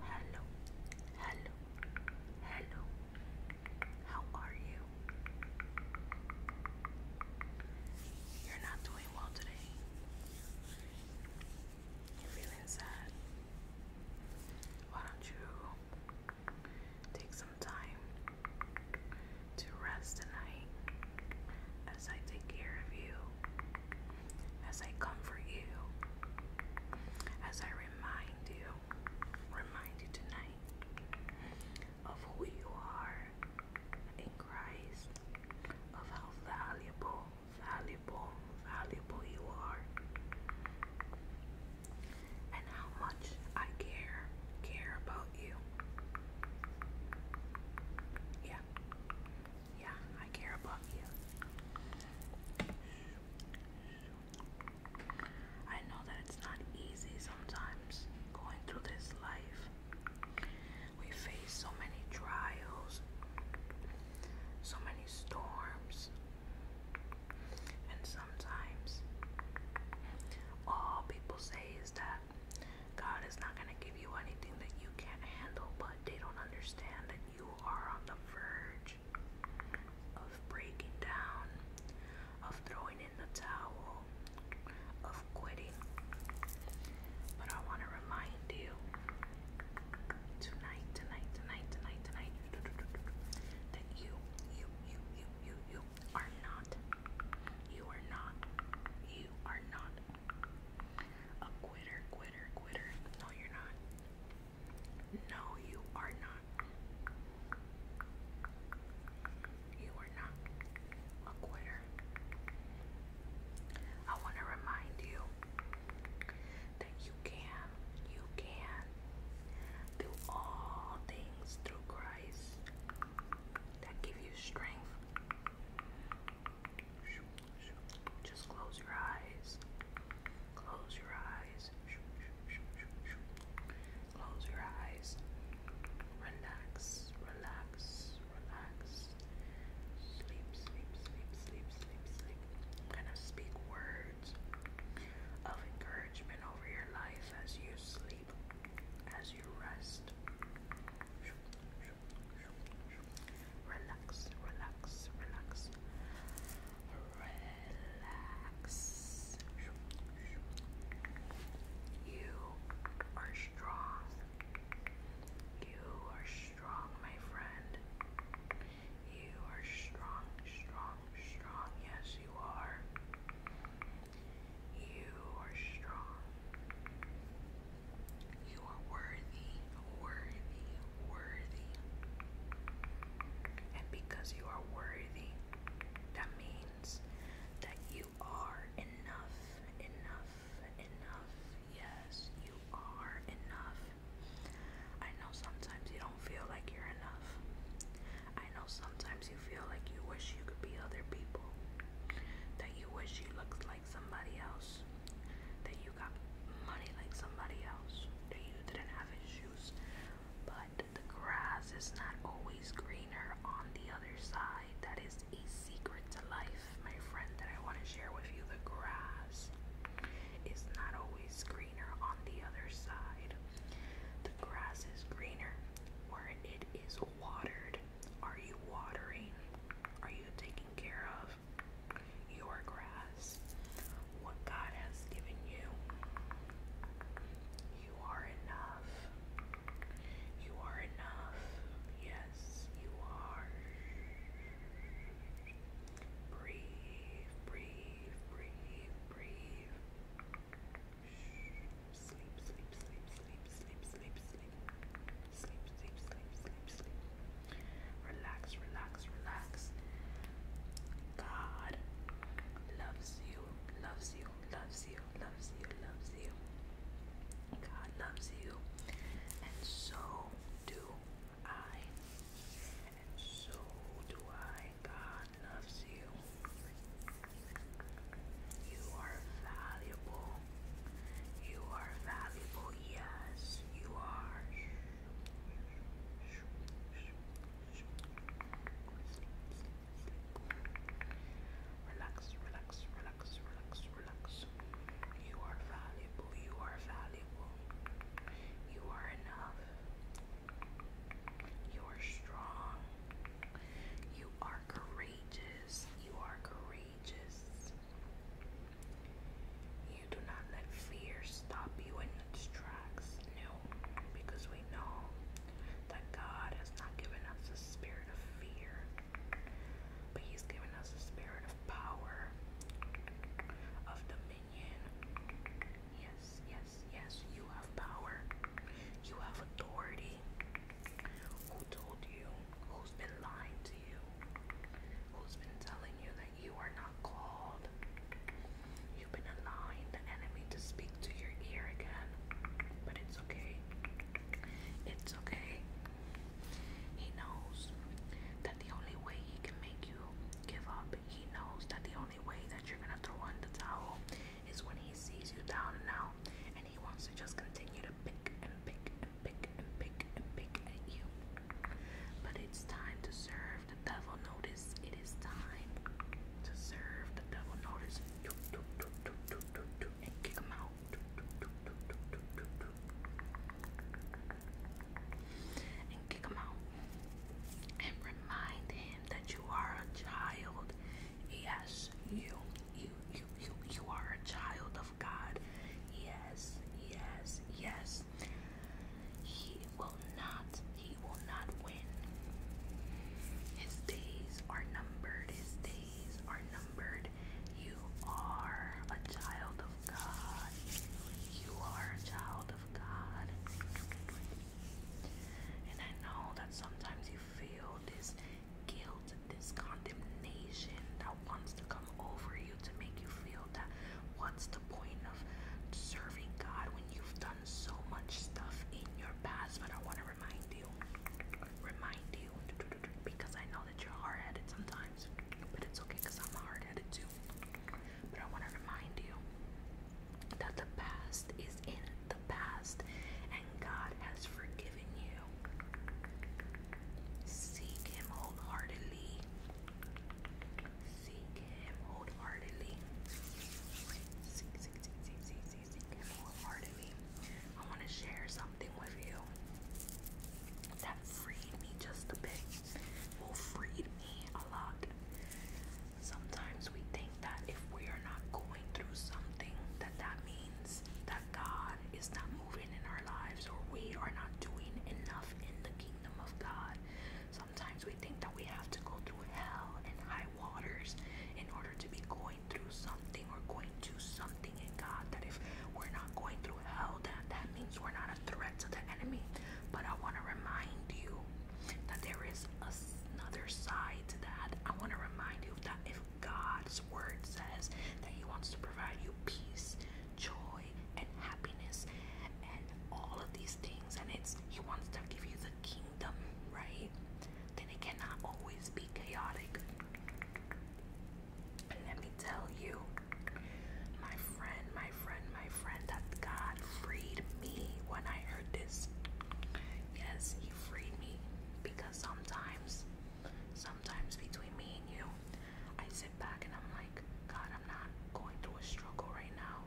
Hello, hello, hello. How are you? You're not doing well today. You're feeling sad. Why don't you take some time to rest tonight as I take care of you? as I comfort you, as I remind you, remind you tonight of who you are in Christ, of how valuable, valuable, valuable you are, and how much I care, care about you. Yeah, yeah, I care about you. I know that it's not easy sometimes going through this life. We face so many trials, so many storms, and sometimes all people say is that God is not going to give you anything that you can't handle, but they don't understand that you are on the verge of breaking down, of throwing in the towel, of quitting. But I want to remind you tonight, tonight, tonight, tonight, tonight, that you, you, you, you, you, you are not, you are not, you are not a quitter, quitter quitter, No, you're not. No, you are not. You are not a quitter. I want to remind you that you can, you can do all things through Christ that give you strength. Just close your eyes. Close your eyes. Close your eyes. Relax, relax, relax. Sleep, sleep, sleep, sleep, sleep, sleep. I'm gonna speak words of encouragement over your life as you sleep, as you rest. Shoo, shoo, shoo, relax, relax, relax, relax. You are strong. You are strong, my friend. You are strong, strong, strong. Yes, you are. You are strong. You are worthy, worthy, worthy. And because you are worthy, that means that you are enough, enough, enough. Yes, you are enough. I know sometimes you don't feel like you're enough. I know sometimes you feel like you wish you could be other people, that you wish you looked like like somebody else, that you got money like somebody else, that you didn't have issues. But the grass is not always greener on the other side. That is a secret to life, my friend, that I want to share with you. The grass is not always greener on the other side. The grass is greener where it is watered. Are you watering? Are you taking care of your grass? What God has given you. You are enough. You are enough. Yes, you are. Breathe, breathe, breathe, breathe. Sleep, sleep, sleep, sleep, sleep, sleep, sleep sleep, sleep, sleep, sleep, sleep, Relax, relax, relax. God loves you, loves you, loves you, loves you, loves you. God loves you, and so do I. And so do I. God loves you. You are valuable. You are valuable, yes, you are. Relax, relax, relax, relax, relax. You are valuable, you are valuable. You are enough. You are strong. You are courageous. You are courageous. You do not let fear stop you in its tracks. No, because we know that God has not given us a spirit of fear, but He's given us a spirit of power, of dominion. Yes, yes, yes, you have power, you have authority. Who told you who's been lying to you, who's been telling you that you are not called. You've been allowing the enemy to speak to your ear again, but it's okay. It's okay. He knows that the only way he can make you give up, he knows that the only way that you're gonna throw on the towel is when he sees you down now, and he wants to just continue to gonna pick and pick and pick and pick and pick at you. But it's time to serve the devil notice. It is time to serve the devil notice. And kick him out. And kick him out. And remind him that you are a child. Yes, you you you you you are a child of God. Yes, yes, yes. He will not, he will not win. His days are numbered, his days are numbered. You are a child of God. You are a child of God. And I know that sometimes you feel this guilt, this condemnation that wants to come over you to make you feel that what's the point of serving God when you've done so much stuff in your past. But I want to remind you, remind you, because I know that you're hard headed sometimes, but it's okay because I'm hard headed too. But I want to remind you that the past is in the past God has forgiven you. Seek Him wholeheartedly. Seek Him wholeheartedly. Seek, seek, seek, seek, seek, seek, Him wholeheartedly. I want to share something with you that freed me just a bit. Will freed me a lot. Sometimes we think that if we are not going through something, that that means that God is not moving in our lives or we are not doing enough in the kingdom of God. Sometimes we think that we have to go through hell and high waters in order to be going through something or going to something in God. That if we're not going through hell, that, that means we're not a threat to the enemy. But I want to remind you that there is another side to that. I want to remind you that if God's word says that He wants to provide you peace, joy, and happiness, and all of these things. And it's He wants to give you the kingdom, right? Then it cannot always be chaotic. And let me tell you, my friend, my friend, my friend, that God freed me when I heard this. Yes, He freed me because sometimes, sometimes between me and you, I sit back and I'm like, God, I'm not going through a struggle right now.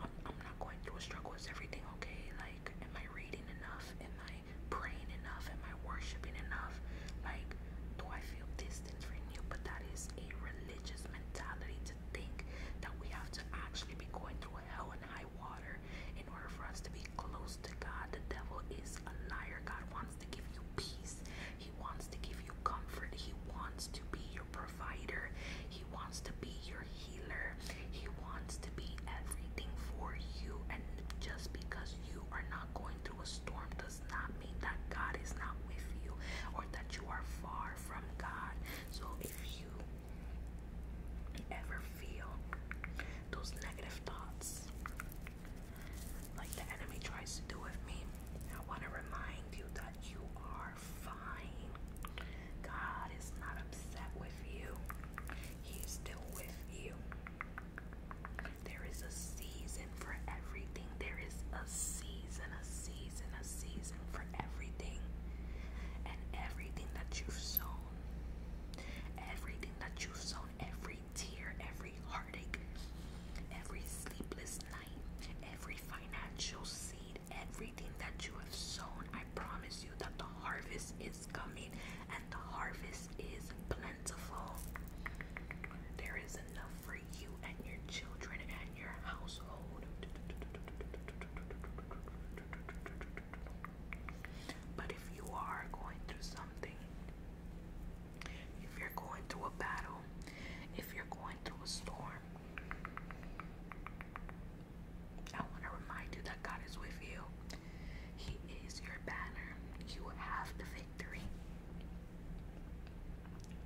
I'm, not going through a struggle. Is everything okay? Like, am I reading enough? Am I praying enough? Am I worshiping enough? Like, do I feel distant from you? But that is a religious mentality to think that we have to actually be going through hell and high water in order for us to be close to God. The devil is a liar. God wants to give you peace, He wants to give you comfort, He wants to be your provider, He wants to be your healer, He wants to be everything for you. And just because you are not going through a storm does not mean that God is not with you or that you are far from God. So if you ever feel those negative thoughts like the enemy tries to do with me, I want to remind you that you are fine. God is not upset with you, He still with you. There is a season for everything. There is a season, a season, a season for everything. And everything that you've sown Everything that you sown, every tear, every heartache, every sleepless night, every financial seed, everything that you have sown, I promise you that the harvest is coming and the harvest is plentiful. There is enough for you and your children and your household. But if you are going through something, if you're going through a battle, if you're going through a storm, I want to remind you that God is with you. He is your banner. You have the victory.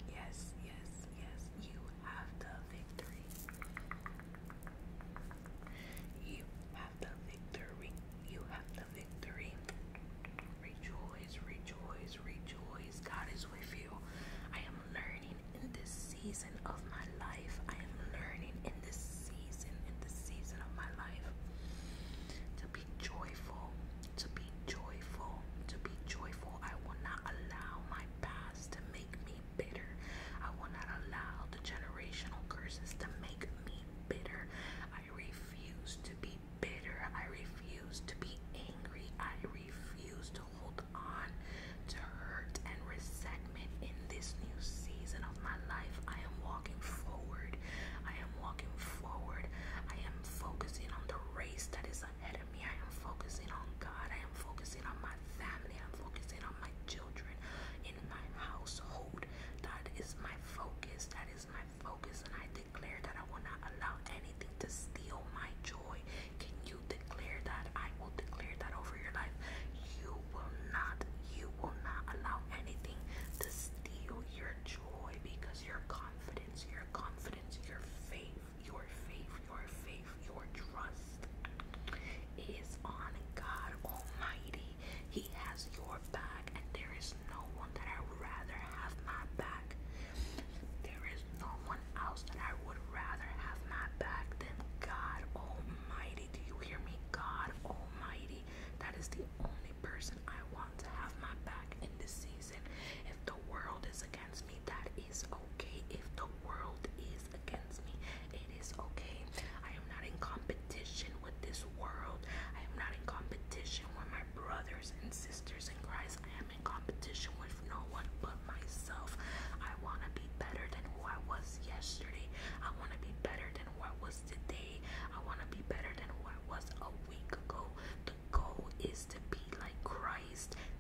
Yes, yes, yes, you have the victory. You have the victory. You have the victory. Rejoice, rejoice, rejoice. God is with you. I am learning in this season of my life. I am learning in this season, in this season of my life, to be joyful, to be joyful, to be joyful. I will not allow my past to make me bitter. I will not allow the generational curses to make me bitter. I refuse to be bitter. I refuse to be angry. I refuse to hold on to hurt and resentment in this new season of my life. I am walking forward. I am walking forward. I am focusing on the race that is ahead of me. I am focusing on God. I am focusing on my family. I'm focusing on my children, in my household. That is my focus. That is my focus. And I declare that I will not allow anything to steal my joy. Can you declare that? I will declare that over your life. You will not, you will not allow anything to steal your joy because your confidence, your confidence, your faith, your faith, your faith, your trust is on God Almighty. He has your back, and there is no one that I would rather have my back. There is no one else that I would rather have my back than God Almighty. Do you hear me? God Almighty. That is the only person I want to have my back in this season. If the world is against me, that is. It is okay if the world is against me. It is okay. I am not in competition with this world. I am not in competition with my brothers and sisters in Christ. I am in competition with no one but myself. I want to be better than who I was yesterday. I want to be better than what was today. I want to be better than what was a week ago. The goal is to be like Christ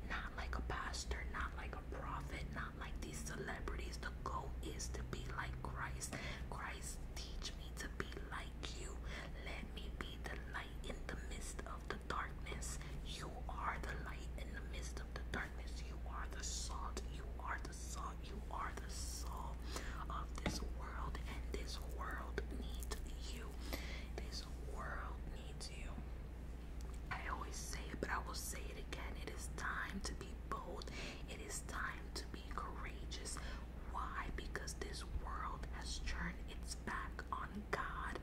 not like a pastor, not like a prophet, not like these celebrities. The goal is to be like Christ. Christ, teach me to be like you. Let me be the light in the midst of the darkness. You are the light in the midst of the darkness. You are the salt. You are the salt. You are the salt of this world, and this world needs you. This world needs you. I always say it, but I will say it again. It is time to be bold. It is time to be courageous. Why? Because this world has turned its back on God.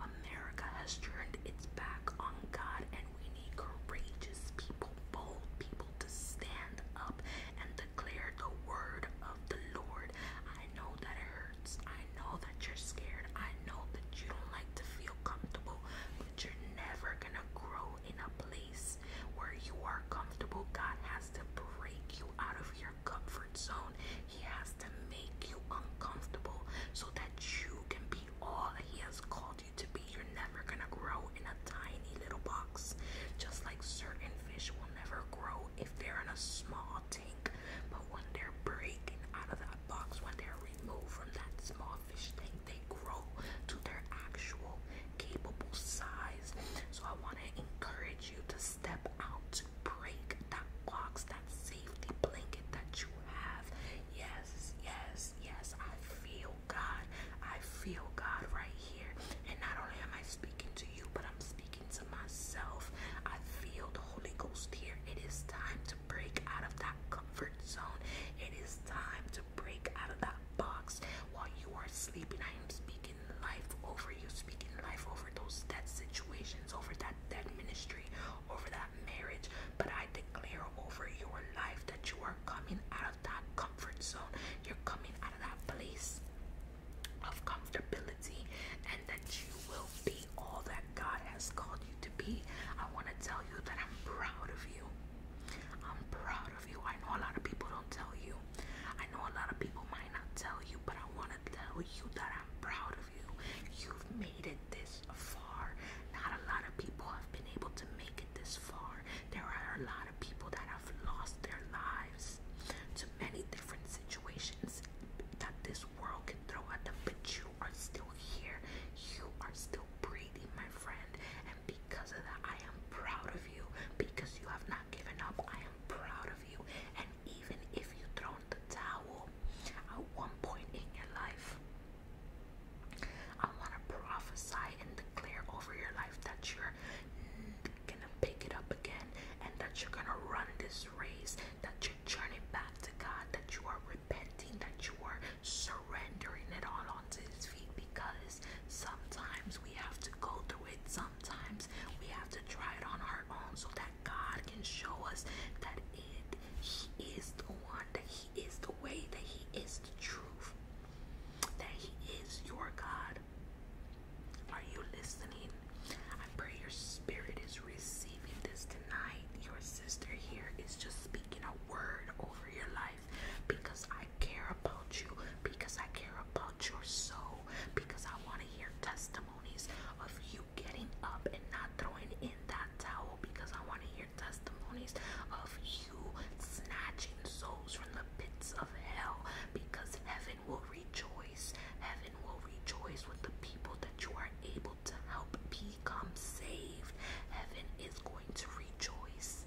America has turned its back on God, and we need courageous people, bold people to stand up and declare the word of the Lord. I know that it hurts. I know that you're scared. I know that you don't like to feel comfortable, but you're never gonna grow in a place where you are comfortable. God has to break you out of your comfort zone, He has to make you uncomfortable so that you can be all that He has called you to be. You're never gonna grow in a tiny little box, just like certain fish will never grow if they're in a small, but when they're breaking out of that box, when they're removed from that small fish tank, they grow to their actual capable size. So I want to encourage you to step out to break that box, that safety blanket that you have. Yes, yes, yes. I feel God. I feel God right here. And not only am I speaking to you, but I'm speaking to myself. I feel the Holy Ghost here. It is time to break out of that comfort zone. It is time to break out of that box while you are sleeping. I am speaking life over you, speaking life over those dead situations, over that dead ministry, over that marriage. But I declare over your life that you are coming out of that comfort zone. You're coming out of that place of comfortability and that you will be all that God has called you to be. I want to tell you that I'm proud of you. I'm proud of you. I know a lot of people don't tell you. I know a lot of people might not tell you, but I want to tell you that I'm proud of you. You've made it this far. Not a lot of people have been able to make it this far. There are a lot of people that have lost their lives to many different situations that this this world can throw at them, but you are still here. You are still breathing, my friend. And because of that, I am proud of you. Because you have not given up, I am proud of you. And even if you throw in the towel at one point in your life, I want to prophesy and declare over your life that you're gonna pick it up again and that you're gonna run this race, that you're turn back to God, that you are repenting, that you are surrendering it all onto His feet because sometimes we have to go through it, sometimes we have to try it on our own so that God can show us that He is the one, that He is the way, that He is the truth, that He is your God. Are you listening? I pray your spirit is receiving this tonight. Your sister here is just speaking a word over your life because I care about you, because I care about your soul, because I want to hear testimonies of you getting up and not throwing in that towel, because I want to hear testimonies of you snatching souls from the pits of hell, because heaven Heaven will rejoice. Heaven will rejoice with the people that you are able to help become saved. Heaven is going to rejoice.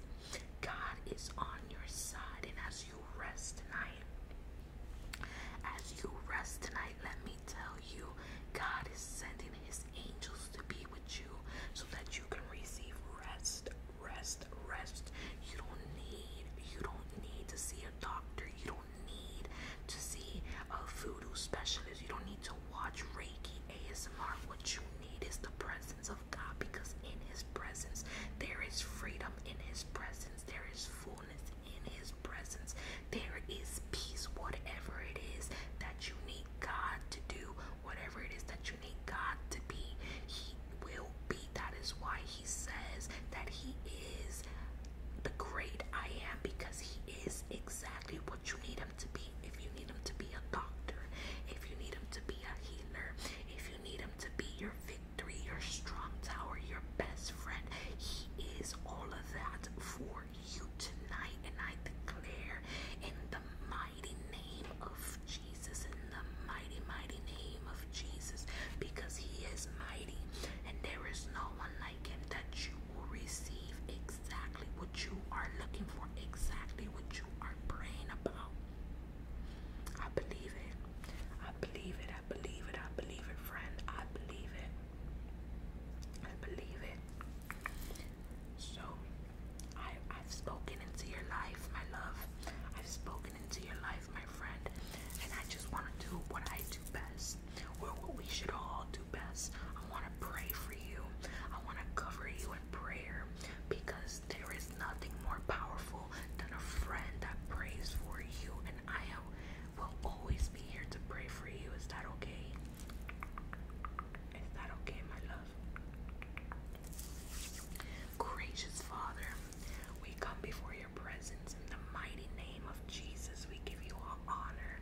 God is on your side, and as you rest tonight, as you rest tonight, let me tell you, God is sending His angels to be with you so that you can receive rest, rest, rest. You don't need, you don't need to see a doctor. You don't need to see a voodoo specialist. You don't need to watch Reiki ASMR. What you need is the presence of God because in His presence there is freedom, in His presence there is fullness, in His presence there is peace. Whatever it is that you need God to do, whatever it is that you need God to be, He will be. That is why he says that he is the great I am because he is exactly what you need him to be. If you need him to be a doctor, if you need him to be a healer, if you need him to be your victory, your strong tower, your best friend, he is all of that for you tonight. And I declare in the mighty name of Jesus, in the mighty, mighty name of Jesus, because he is my and there is no one like him that you will receive exactly what you are looking for, exactly what you are praying about. I believe it. I believe it. I believe it. I believe it, friend. I believe it. I believe it. So, I've spoken into your life, my love. I've spoken into your life my friend. And I just want to do what I do best, or what we should all do best. I want to pray for you. I want to cover you in prayer because there is nothing more powerful than a friend that prays for you. And I will always be here to pray for you. Is that okay? Is that okay, my love? Gracious Father, we come before presence. In the mighty name of Jesus, we give you all honor.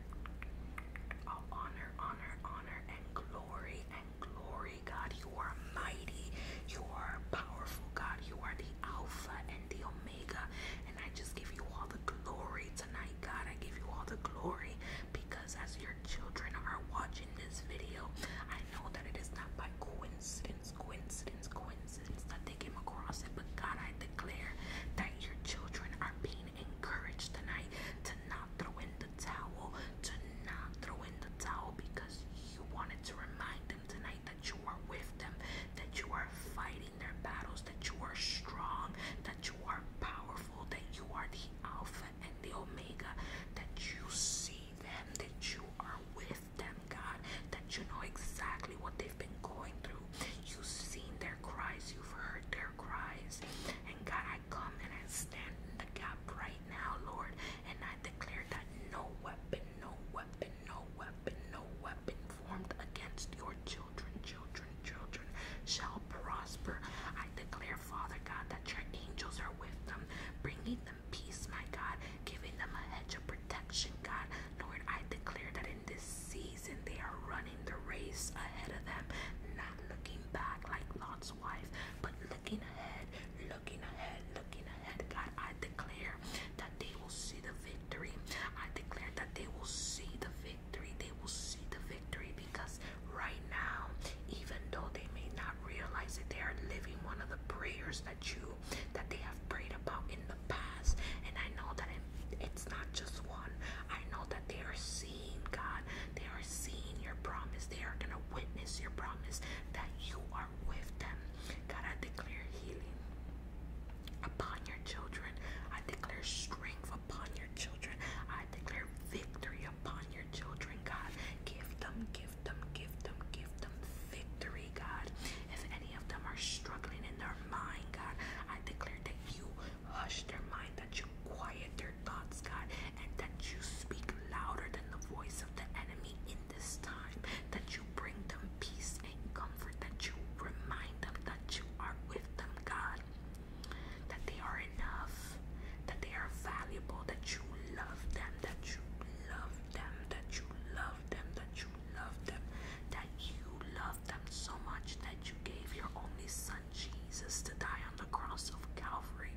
All honor, honor, honor, and glory, and glory, God. You are mighty. You are powerful, God. You are the Alpha and the Omega. And I just give you all the glory tonight, God. I give you all the glory because as your children are watching this video, I know that it is not by coincidence coincidence, coincidence, that they came across it. But God, I declare that your children are being encouraged tonight to not throw in the towel, to not throw in the towel because you wanted to remind them tonight that you are with them, that you are fighting their battles, that you are strong, that you are powerful, that you are the Alpha and the Omega, that you see them, that you are with them, God, that you know exactly what they've been going through. You've seen their cries, you've heard their cries. And God, I come and I stand in the gap right now, Lord, and I declare that no weapon, no weapon, no weapon, no weapon formed against your children, children, children shall prosper. I declare, Father God, that your angels are with them, bringing them peace, my God, giving them a hedge of protection, God. Lord, I declare that in this season they are running the race ahead of them, not looking back like Lot's wife, but looking ahead, looking ahead, looking ahead. God, I declare that they will see the victory. I declare that they will see the victory. They will see the victory because right now, even though they may not realize it, they are living one of the prayers that you that they have prayed about in the past and I know that it, it's not just one I know that they are seeing God they are seeing your promise they are gonna witness your promise that you are with them God I declare healing upon your children I declare strength upon your children I declare victory upon your children God give them give Give them, give them, give them victory, God. If any of them are struggling in their mind, God, I declare that you hush their mind, that you quiet their thoughts, God, and that you speak louder than the voice of the enemy in this time, that you bring them peace and comfort, that you remind them that you are with them, God, that they are enough, that they are valuable, that you love them, that you love them, that you love them, that you love them, that you love them so much that you gave your only son Jesus to die on the cross of Calvary.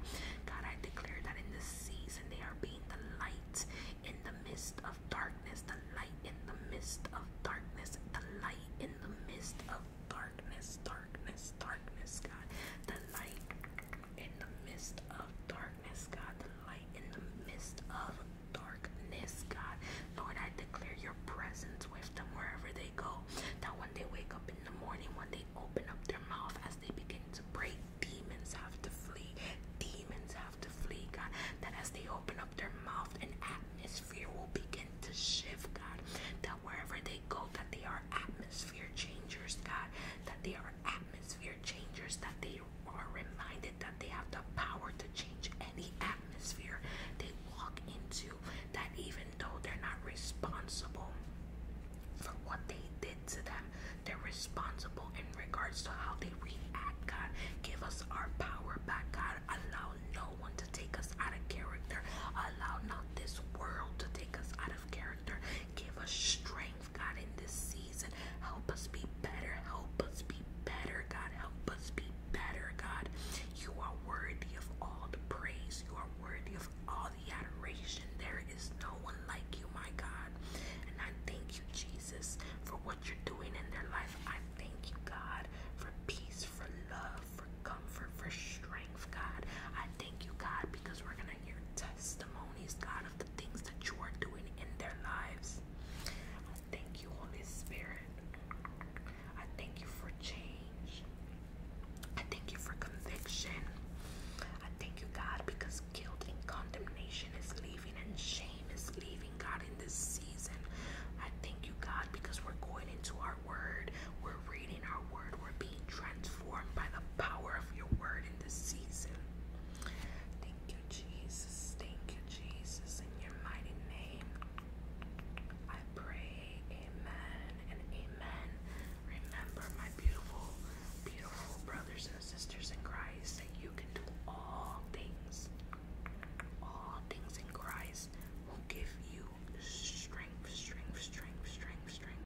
God, I declare that in this season they are being the light in the midst of darkness, the light in the midst of darkness, the light in the midst of darkness, darkness, darkness, God, the light in the midst of darkness. God, the light in the midst of darkness, God. Lord, I declare your presence with them wherever they go. That when they wake up in the morning, when they open up their mouth as they begin to pray, demons have to flee. Demons have to flee, God. That as they open up their mouth, an atmosphere will begin to shift, God. That wherever they go, that they are atmosphere changers, God. That they are atmosphere changers, that they are reminded that they have the power to change any atmosphere they walk into, that even though they're not responsible for what they did to them, they're responsible in regards to how they react. God, give us our power back. God, allow no one to take us out of character. Allow not this world to take us out of character. Give us strength. God, in this season. Help us be better. Help us be better, God. Help us be better, God. You are worthy of all the praise. You are worthy of all the adoration. There is no one like you, my God. And I thank you, Jesus, for what you're doing in their life. I thank you, God, for peace, for love, for comfort, for strength, God. I thank you, God, because we're going to hear testimonies, God the things that you are doing in their lives. I thank you, Holy Spirit. I thank you for change. I thank you for conviction. I thank you, God, because guilt and condemnation is leaving and shame is leaving, God, in this season. I thank you, God, because we're going into our word. We're reading our word we're being transformed by the power of your word in this season. Thank you, Jesus. Thank you, Jesus. In your mighty name, I pray. Amen and amen. Remember, my beautiful, beautiful brothers and sisters in Christ, that you can do all things, all things in Christ will give you strength, strength, strength, strength, strength.